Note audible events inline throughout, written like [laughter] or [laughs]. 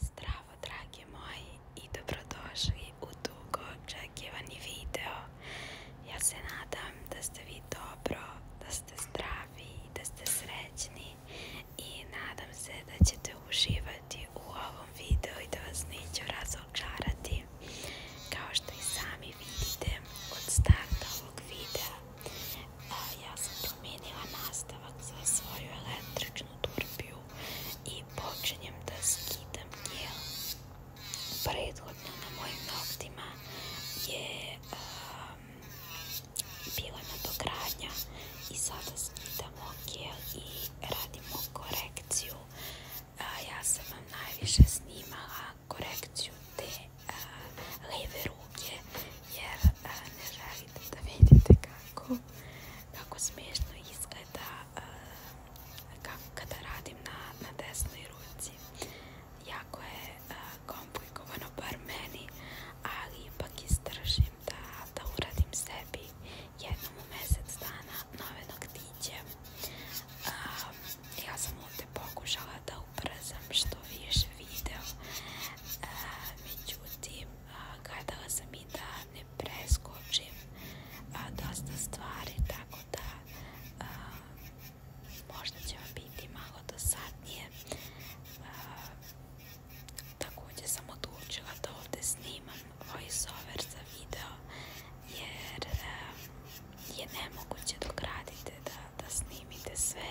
Zdravo dragi moji i dobrodošli u dugo očekivani video. Ja se nadam da ste vi dobro, da ste zdravi da ste srećni i nadam se da ćete uživati u ovom videu i da vas neću razočarati. Kao što i sami vidite od starta ovog videa, ja sam promijenila nastavak za svoju električnu turpiju i počinjem da skidam gel. Prethodno na mojim noktima je um, bila na dokranja i sada skidamo gel i radimo korekciju. a ja sam vam najviše snimala korekciju te leve ruke jer ne želite da vidite kako kako smiješno izgleda eh, kako kada radim na, desnoj ruci. Jako je eh, komplikovano, bar meni, ali ipak istražim da, uradim sebi jednom u mjesec dana nove noktiće. Eh, ja sam ovdje pokušala da ubrzam što više video, međutim gledala sam i da ne preskočim a, dosta stvari, tako da možda će vam biti malo dosadnije. također sam odlučila da ovdje snimam voiceover za video jer je nemoguće dok radite da snimite sve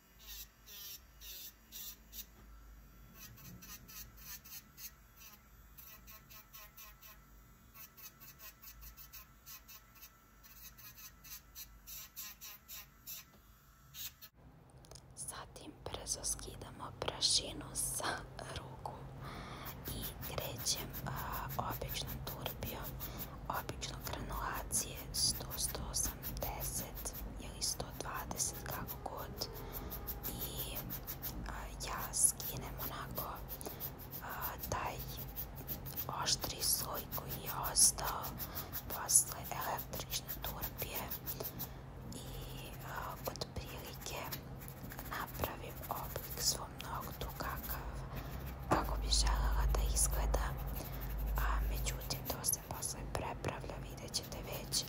Zatim brzo prašinu sa ruku i krećem običnom turbijom, obično granulacije 100 80 или 120 како год и јас скинем онако тај оштри кој е остал после електрична турбија и а, од облик во многу какав како би желела да изгледа to se posle prepravlja, vidjet ćete već,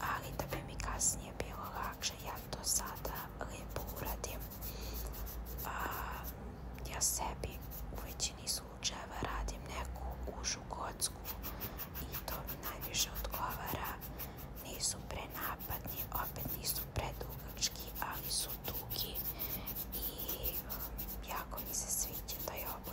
ali da bi mi kasnije bilo lakše, ja to sada lijepo uradim. ja sebi u većini slučajeva radim neku užu kocku i to mi najviše odgovara. Nisu prenapadni, opet nisu predugački, ali su dugi i um, jako mi se sviđa taj oblik.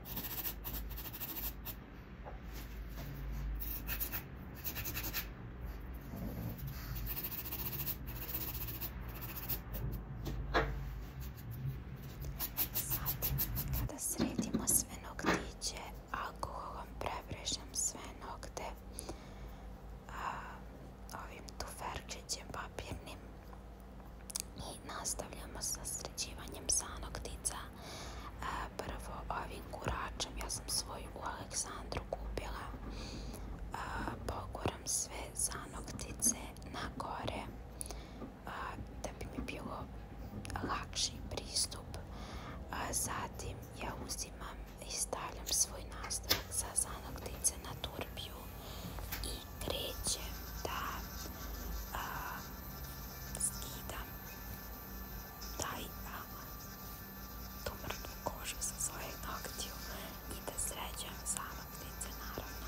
Zatim, kada sredimo sve noktiće, alkoholom prebrežem sve nokte a, ovim tuferčićem papirnim i nastavljamo sa sređivanjem zanoktica, e, Prvo ovim kuračem, ja sam svoju u Aleksandru kupila, e, poguram sve zanoktice na gore e, da bi mi bilo lakši pristup. Zatim ja uzimam i stavljam svoj nastavak za zanoktice na turbiju i krećem da skidam taj ama, tu mrtvu kožu sa svojeg noktiju i da sređujem zanoktice naravno.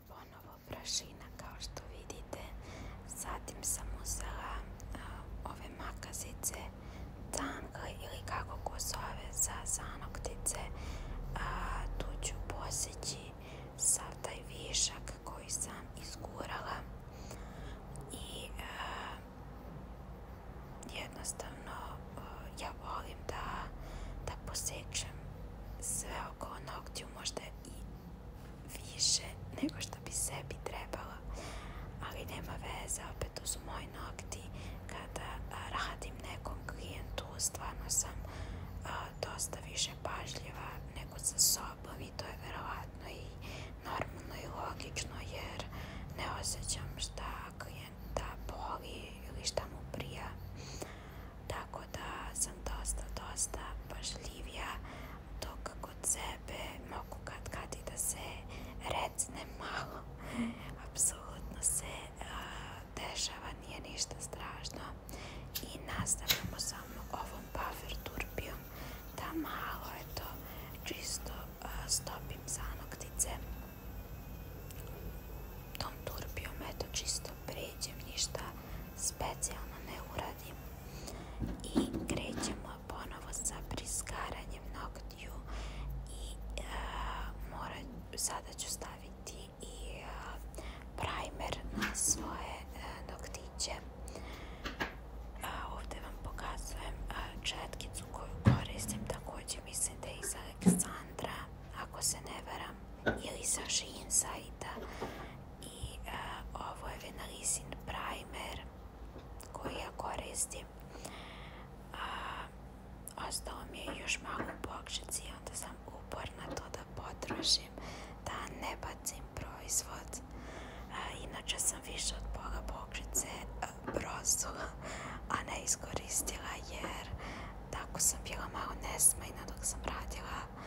ponovo prašina kao što vidite. Zatim sam uzela ove makazice tangle ili kako ko zove za zanoktice. A, tu ću posjeći sav taj višak koji sam izgurala i jednostavno ja volim da, da posjećam sve oko noktiju možda i više nego što bi sebi trebala. Ali nema veze, opet to su moji nokti. Kada radim nekom klijentu, stvarno sam dosta više pažljiva nego sa sobom i to je vjerojatno i normalno i logično jer ne osjećam šta klijenta boli ili šta mu prija tako da sam dosta, dosta pažljivija to kod sebe mogu kad da se recne malo. [laughs] Apsolutno se dešava, nije ništa strašno i nastavljamo samo ovom buffer turbijom da malo eto čisto stopim zanoktice tom turbijom eto čisto što pređem, ništa specijalno ne uradim. I krećemo ponovo za priskaranjem noktiju i eh, sada ću staviti i eh, primer na svoje doktiće.te eh, noktiće. vam pokazujem četkicu koju koristim, također mislim da je iz Aleksandra, ako se ne varam, ili sa Shein i ovo je Venalisin primer koji ja koristim ostao ostalo mi je još malo u bokšici i onda sam uporna to da potrošim da ne bacim proizvod inače sam više od pola bokšice brozula a ne iskoristila jer tako sam bila malo nesmajna dok sam radila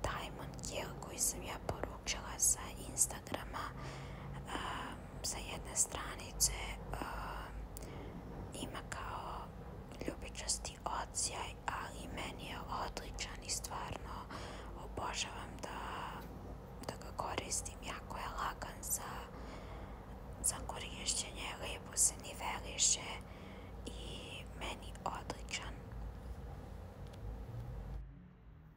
Diamond Kill koji sam ja poručila sa Instagrama sa jedne stranice ima kao ljubičasti ocijaj ali meni je odličan i stvarno obožavam da, ga koristim jako je lagan za, za lijepo se niveliše i meni odličan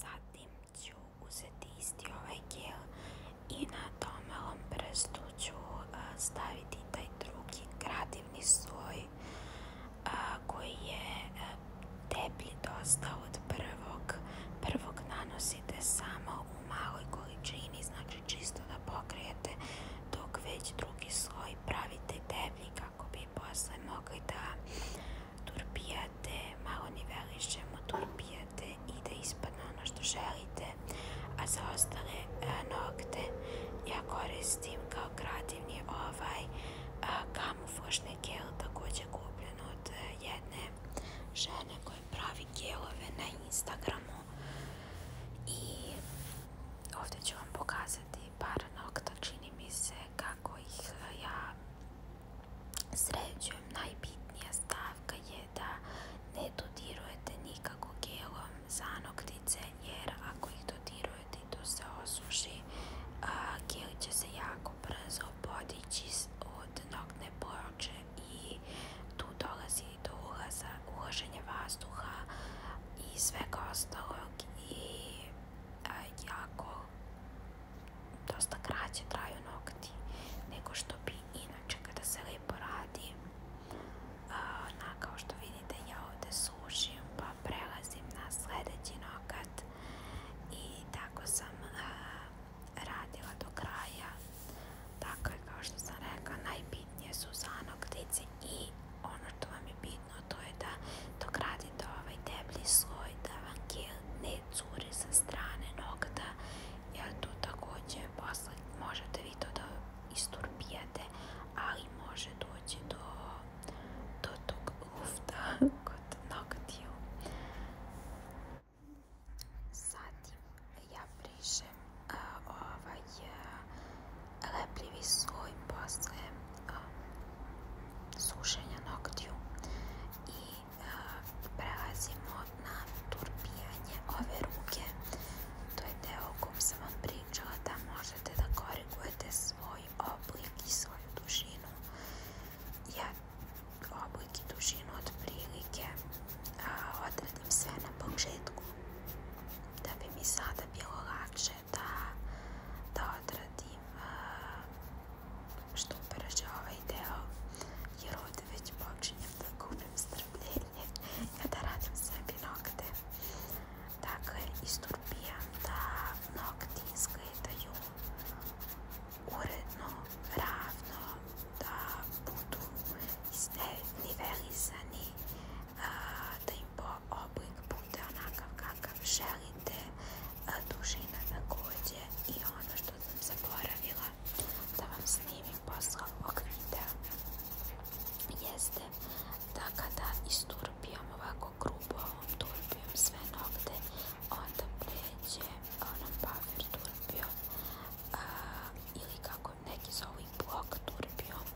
Zatim ću uzeti isti ovaj gel i na domalom prstu ću staviti taj drugi grad svoj sloj koji je deblji dosta od prvog. Prvog nanosite samo u maloj količini, znači čisto da pokrijete, dok već drugi sloj pravite deblji kako bi posle mogli da turpijate, malo ni nivelišemo, turpijate i da ispadne ono što želite. A za ostale nokte ja koristim kao je ovaj kamuflažni gel također kupljen od e, jedne žene koja pravi gelove na Instagramu i ovdje ću vam pokazati par nokta čini mi se kako ih e, ja sređujem najbitnija stavka je da ne dodirujete nikako gelom za noktice jer ako ih dodirujete i to se osuši, gel će se jako brzo podići od noktne ploče i tu dolazi do ulaza, vas vazduha i svega ostalog i jako dosta kraće traju nokti nego što bi inače kada se lijepo radi na, kao što vidite ja ovdje sušim pa prelazim na sljedeći nokat i tako sam radila do kraja. tako je kao što sam rekla, najbitnije su noktice i ono što vam je bitno to je da dok ovaj deblji sloj da vam ne curi sa strane nokta jer tu također možete vi to da isturpijate, ali može doći do, tog [laughs] kod noktiju. Zatim ja brišem ovaj lepljivi sloj sušenja noktiju i prelazimo na turpijanje ove ruke. To je deo o kom sam vam pričala da može da korigujete svoj oblik i svoju dužinu ja oblik i dužinu otprilike odredim sve na početku da bi mi sada bilo lakše da, da odradim što brže ovaj deo jer ovdje već počinjem da gubim strpljenje [laughs] ja da radim sebi nokte Dakle, istorbijam da nokti izgledaju uredno, ravno, da budu nivelizani, da im oblik bude onakav kakav želite, dužina takođe i ono što sam zaboravila da vam snimim posle ovog videa jeste da kada isturpijam ovako grubo ovom turbijom sve nogde, onda pređe ona paver turbijom ili kako neki zovu blok turbijom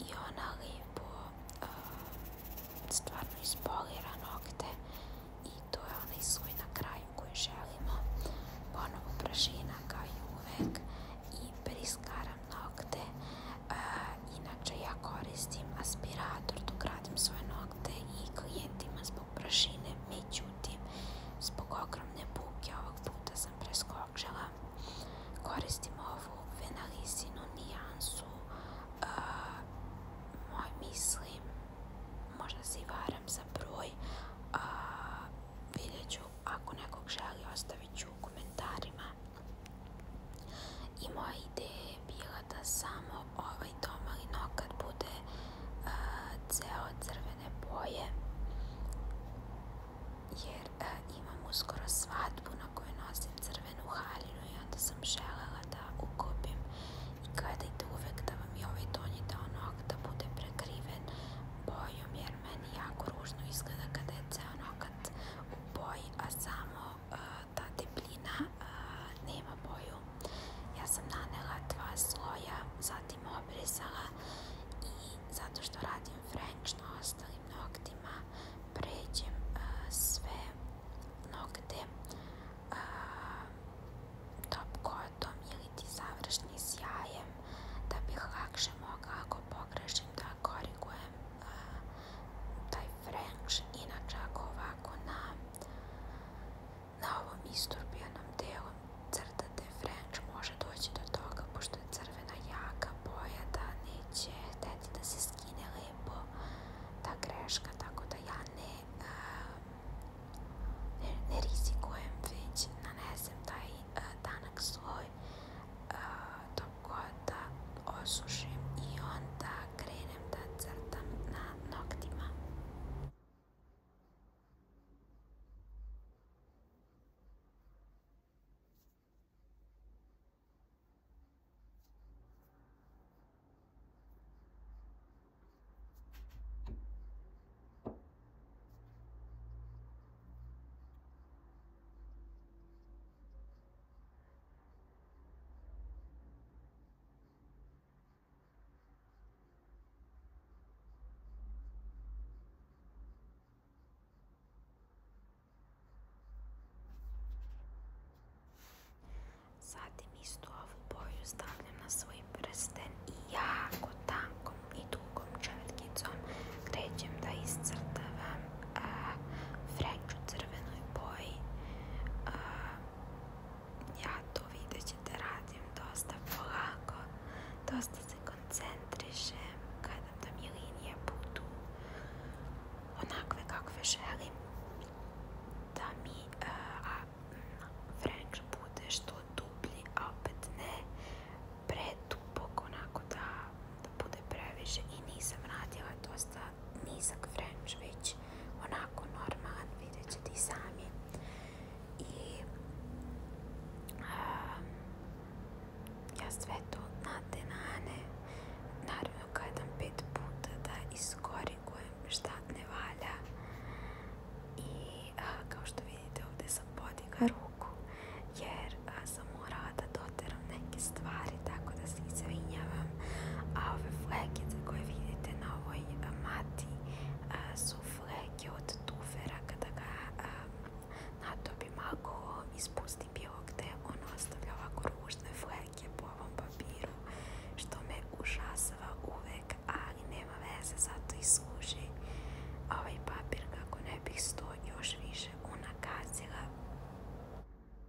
i ona lijepo stvarno ispolira nokte i to je onaj svoj na kraju koji želimo ponovo prašina kao i uvek i priskaram nokte. E, inače ja koristim aspirator dok radim svoje nokte i klijentima zbog prašine, međutim zbog ogromne buke ovog puta sam preskočila. Koristim ovu venalisinu nijansu, e, moj, mislim, možda se i varam za broj, a, e, vidjet ću, ako nekog želi ostavit ću u komentarima i moja ideja je bila da samo ovaj domalin nokat bude uh, crvene boje jer imamo imam uskoro svadbu na kojoj nosim crvenu haljinu i onda sam želela da ukopim i gledajte uvek da vam je ovaj donji dao nokat da bude prekriven bojom jer meni jako ružno izgleda kada je ceo nokat boji, a samo e, ta debljina e, nema boju. Ja sam nanela dva sloja, zatim obrisala i zato što radim french na ostalim noktima pređem e, sve nokte top kotom ili ti završni sjajem da bih lakše mogla ako pogrešim da korigujem taj French, inače ovako na, na ovom isturbijanom delu crtate French može doći do toga, pošto je crvena jaka boja da neće da se skine lepo ta greška, tako da ja ne, rizikujem već nanesem taj danak sloj kota osušim i onda krenem da crtam na noktima. Zatim istu ovu boju stavljam na svoj prsten i jako tankom i dugom čevrtkicom krećem da iscrtavam vreću crvenoj boji. ja to vidjet ćete radim dosta polako, dosta se koncentrišem kada da mi linije budu onakve kakve želim da mi a, bude što dublji, a opet ne onako da da bude previše i nisam radila dosta nizak french, već onako normalan, vidjet ćete i sami. I uh, ja sve to na denane, naravno gledam pet puta da iskorigujem šta ne valja. I uh, kao što vidite ovdje sam podiga ruku, jer uh, sam morala da doteram neke stvari, tako da se izvinjavam. A ove flekice koje vidite na ovoj mati su fleke od tufera. Kada ga to bi malo ispusti bilo te on ostavlja ovako ružne fleke po ovom papiru, što me ušasava uvek, ali nema veze, zato i služi ovaj papir kako ne bih sto još više unakazila.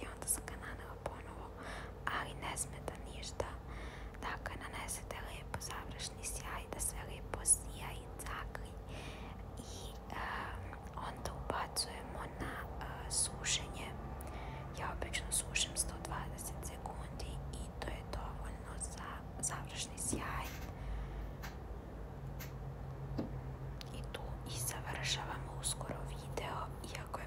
i onda sam ga nanela ponovo, ali ne smeta ništa. Dakle, nanesete lepo završni sjaj, da sve lepo sija i cakli. I um, onda ubacujemo na uh, sušenje. Ja obično sušem 120 sekundi i to je dovoljno za završni sjaj. I tu i završavamo uskoro video, iako je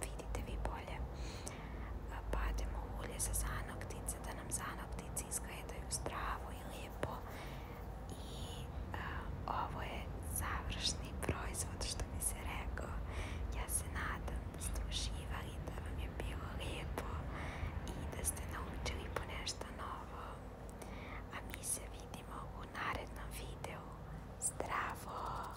vidite vi bolje. Pademo ulje za zanoptice da nam zanoktici izgledaju zdravo i lijepo. I ovo je završni proizvod što mi se rekao. Ja se nadam da ste da vam je bilo lijepo i da ste naučili po nešto novo. A mi se vidimo u narednom videu. Zdravo!